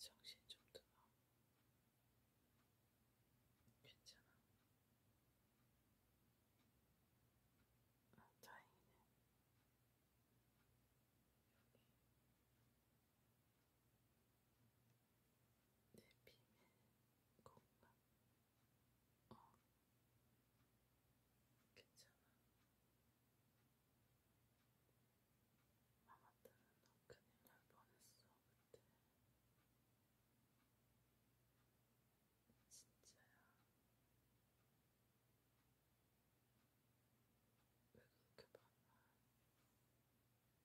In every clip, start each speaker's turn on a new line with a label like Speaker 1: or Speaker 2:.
Speaker 1: 정신 좀 들어. 괜찮아. 아, 다행이네. 여기. 내 비밀 공간. 어, 괜찮아. 마마 때문에 너 큰일 날 뻔했어 그때. 진짜야. 왜 그렇게 봤나?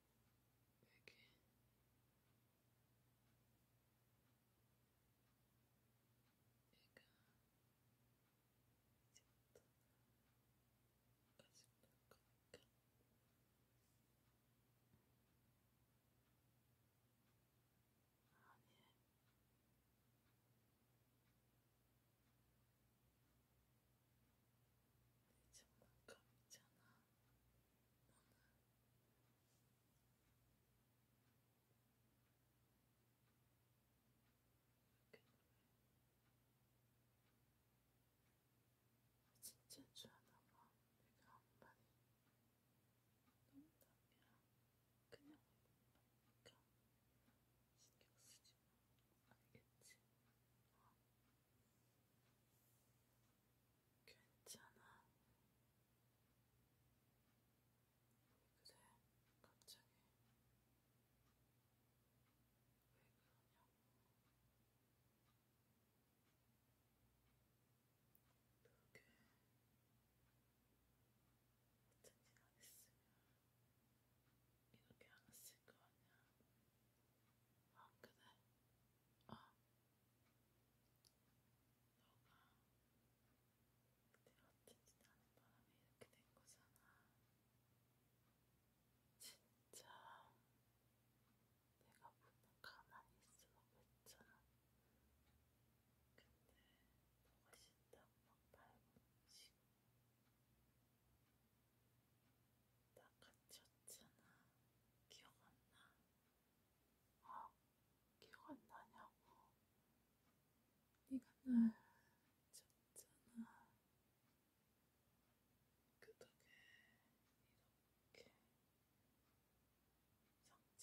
Speaker 1: 여기 얘가 이제부터 가지고 놀 거니까 아니 내 장난감이잖아 진짜 좋아하나봐. 내가 한마디 농담이야. 그냥 해보니까 신경 쓰지 마. 알겠지? 어. 괜찮아. 그래, 갑자기. 왜 그러냐고. 그렇게 같은 짓안 했으면 이렇게 안 했을 거 아니야. 안 그래? 어. 너가 그때 어쩐지 나는 바람에 이렇게 된 거잖아. 진짜 내가 분명 가만히 있으라고 했잖아. 근데 너가 싫다고 막 발버둥치고 나 같이 왔잖아. 기억 안 나? 어? 기억 안 나냐고? 네가 날 쳤잖아. 그 덕에 이렇게 상처가 났어. 너 때문에.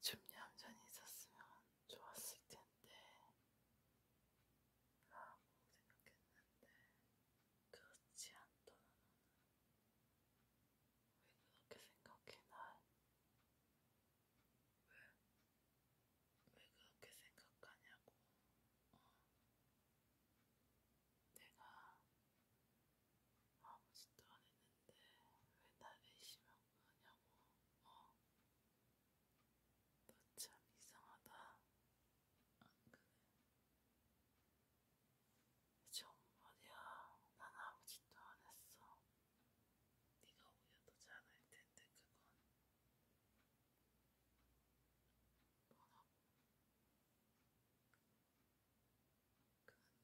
Speaker 1: 좀 얌전히 있었으면 좋았을 텐데 라고 생각했는데 그렇지 않더라 너는 왜 그렇게 생각해 날? 왜? 왜 그렇게 생각하냐고 어. 내가 아무 짓도 안 했는데 왜 나를 의심하고 그러냐고 어? 너참 이상하다. 안 그래? 정말이야. 난 아무 짓도 안 했어. 네가 오히려 더 잘할 텐데 그건. 뭐라고?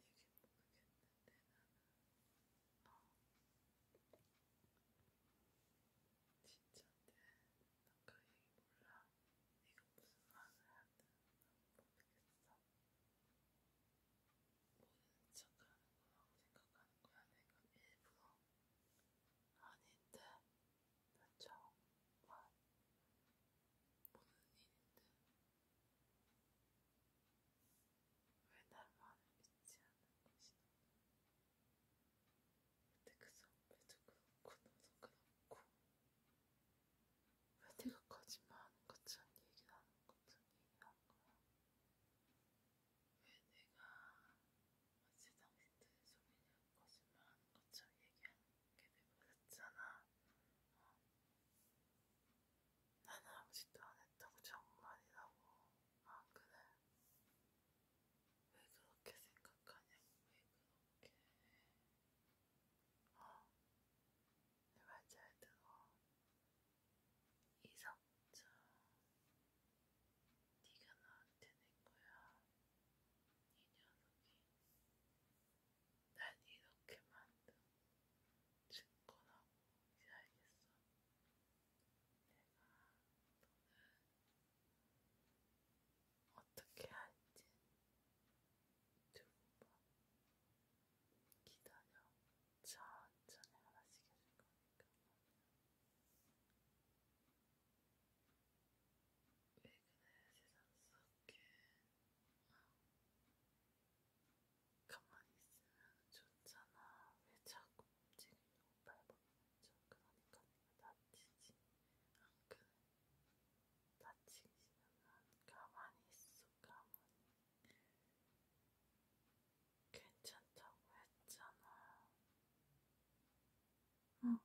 Speaker 1: 그런 얘긴 모르겠는데 나는. 진짜 내나그 얘기 몰라. 네가 무슨 말을 해야 되나 모르겠어. 모르는 척하는 거라고 생각하는 거야. 내가 일부러 아닌데 나 정말 모르는 일인데. 왜 나만 믿지 않는 것이 근데 그 선배도 그렇고 너도 그렇고 왜 내가 거짓말하는 것처럼 얘기를 하는 것처럼 얘기한 거야? 왜 내가 어제 당신들의 소리냐 거짓말하는 것처럼 얘기하게 돼버렸잖아 어? 나는 아무 짓도 안 했다고 정말이라고 아 그래? 왜 그렇게 생각하냐고 왜 그렇게 어? 아, 내말잘 들어 이 상처 네가 나한테 낸거야 이 녀석이 날 이렇게 만든 증거라고 이제 알겠어 내가 너는 어떻게 할지 두번 기다려 천천히 하나씩 해줄 거니까 왜 그래 세상 속에 어. 가만히 있으면 좋잖아. 왜 자꾸 움직이려고 발버둥쳐? 그러니까 내가 다치지. 안 그래? 다치기 싫으면 가만히 있어. 가만히. 괜찮다고 했잖아. 응.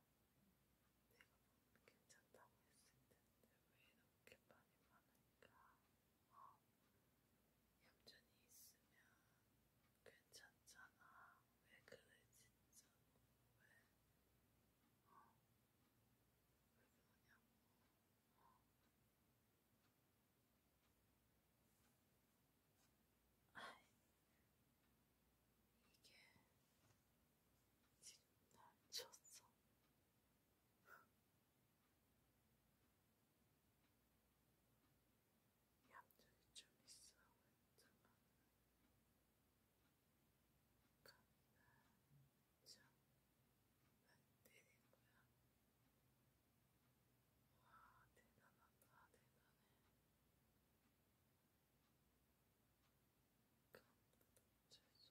Speaker 1: 내가 괜찮다고 했을 텐데 왜 이렇게 말이 많을까? 어, 얌전히 있으면 괜찮잖아. 왜 그래 진짜? 왜? 어, 왜 그러냐고? 어. 아이, 이게 지금 날 쳤어. 양쪽이 좀 있어. 왼쪽은 가면 참 날때린 거야. 와, 대단하다, 대단해. 감도 멈출 수 없지.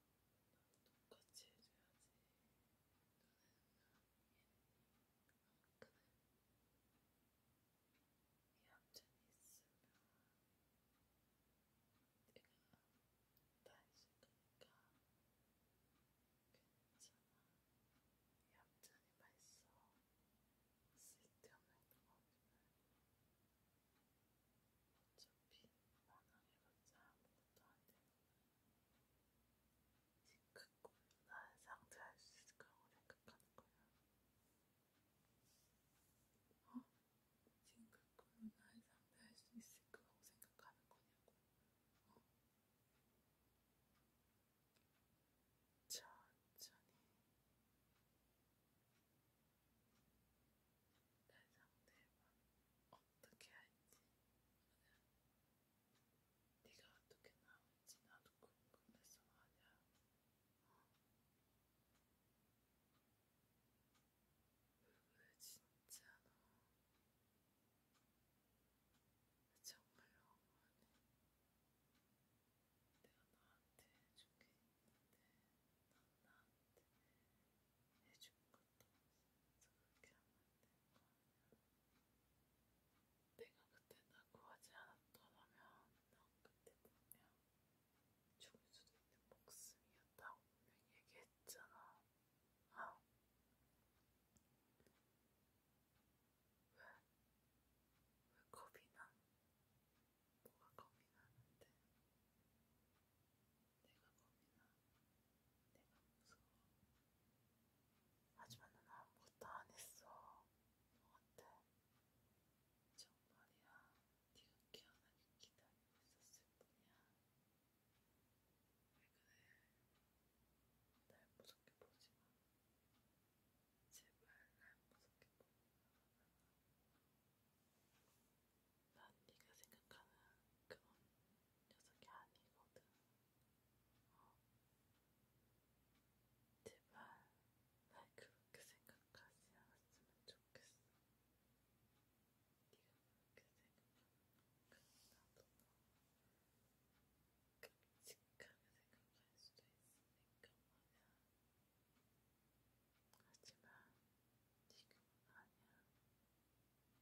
Speaker 1: 똑같이 해줘야지. 너는 얌전히 있으면 내가 다 그 있을 거니까 괜찮아. 얌전히 말써. 쓸데없는 거 없으면 어차피 만원해봤자 아무것도 안 되는 거야. 지금 난 상대할 수 있을 거라고 생각하는 거야. 어? 지금 꿈을 날 상대할 수 있을 거라고 생각하는 거냐고. 어? 천천히 날 상대해봐. 어? 어떻게 할지 네가 어떻게 나올지 나도 궁금해서 말이야. 어. 왜 그래 진짜 너 정말 너무하네. 내가 너한테 해준 게 있는데 넌 나한테 해준 거 그렇게 하면 될거 아니야. 내가 그때 나 구하지 않았더라면 넌 그때 분명 죽을 수도 있는 목숨이었다고 분명 얘기했잖아. 아. 왜? 왜 겁이 나? 뭐가 겁이 나는데? 내가 겁이나 내가 무서워. 하지만 난 아무것도 안 했어. 너 어때? 정말이야. 네가 기어나게 기다리고 있었을 뿐이야. 왜 그래? 날 무섭게 보지 마. 제발 날 무섭게 보지 마. 난 네가 생각하는 그런 녀석이 아니거든. 어. 제발 날 그렇게 생각하지 않았으면 좋겠어. 네가 그렇게 생각하면 그냥 나도 끔찍하게 생각할 수도 있으니까 말이야. 하지만 지금은 아니야.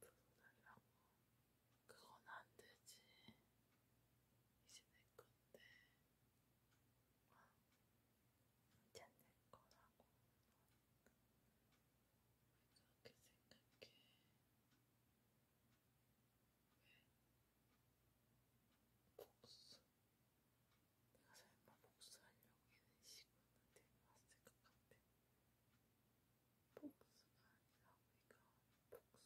Speaker 1: 불운하기라고 그건 안 되지. 이제 내 건데. 와, 이제 내 거라고. 왜 그렇게 생각해? 왜? 복수. 내가 설마 복수하려고 이런 식으로 데려왔을 것 같아. 복수가 아니라 이건 복수가 아니라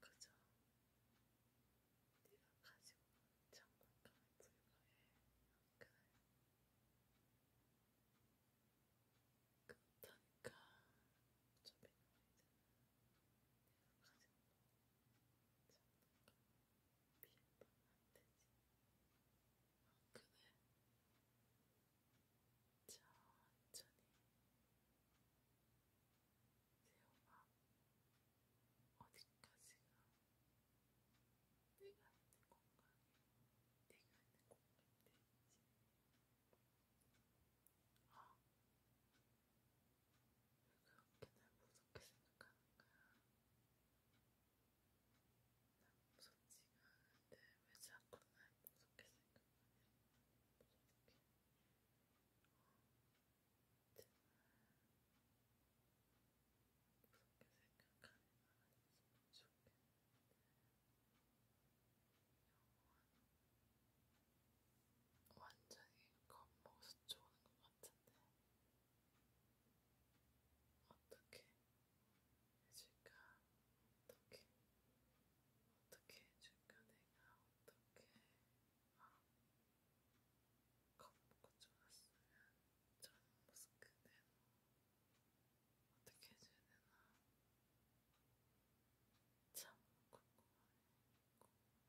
Speaker 1: 그저 네가 가지고 있는 장난감에 불과해. 그래. 그렇다니까 저 미노이드는 내가 가지고 있는 장난감에 비해보면 안 되지. 아, 그래? 천천히 세워봐. 어디까지가 내가 있는 공간이 내가 있는 공간인지. 어? 왜 그렇게 날 무섭게 생각하는 거야? 무섭지가 않은데 왜 자꾸 날 무섭게 생각하냐? 무섭게. 어, 제발. 무섭게 생각하는 안 했으면 좋겠는데. 영원. 완전히 겁먹어서 쪼는 것 같은데. 어떻게? 해줄까? 어떻게? 어떻게 해줄까? 내가 어떻게? 어, 아, 겁먹고 좋았으면 전 모습 그대로 어떻게 해줘야 되나? 참 궁금하네. 궁금해.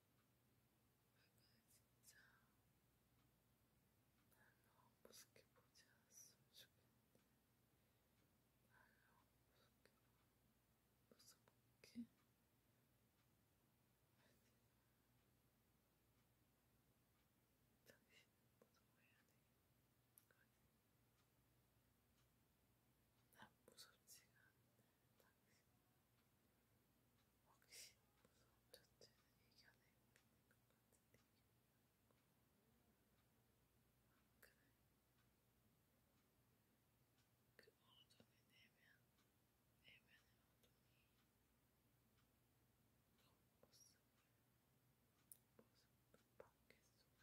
Speaker 1: 진짜 날 너무 무섭게 보지 않았으면 좋겠는데 날 너무 무섭게 봐 무섭게 아니 당신은 무서워해야 되겠거든 난 무섭지가 않네 당신 확실히 무서움 자체는 이겨낼 수 있는 것 같은데. 아, 그래. 그 어둠의 내면, 내면의 어둠이 겉모습을, 모습도 밖에 쏟아있게 만드는 거야. 어쩔 뻔했는데.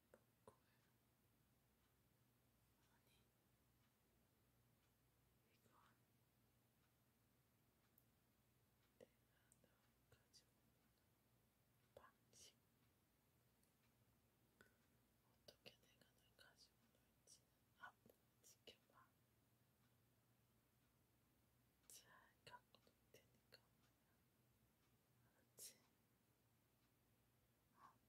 Speaker 1: 아니, 이건 내가 너 가지고 노는 방식. 어떻게 내가 널 가지고 놀지는 앞으로 지켜봐. 잘 갖고 놀 테니까 말이야. 알았지? 어.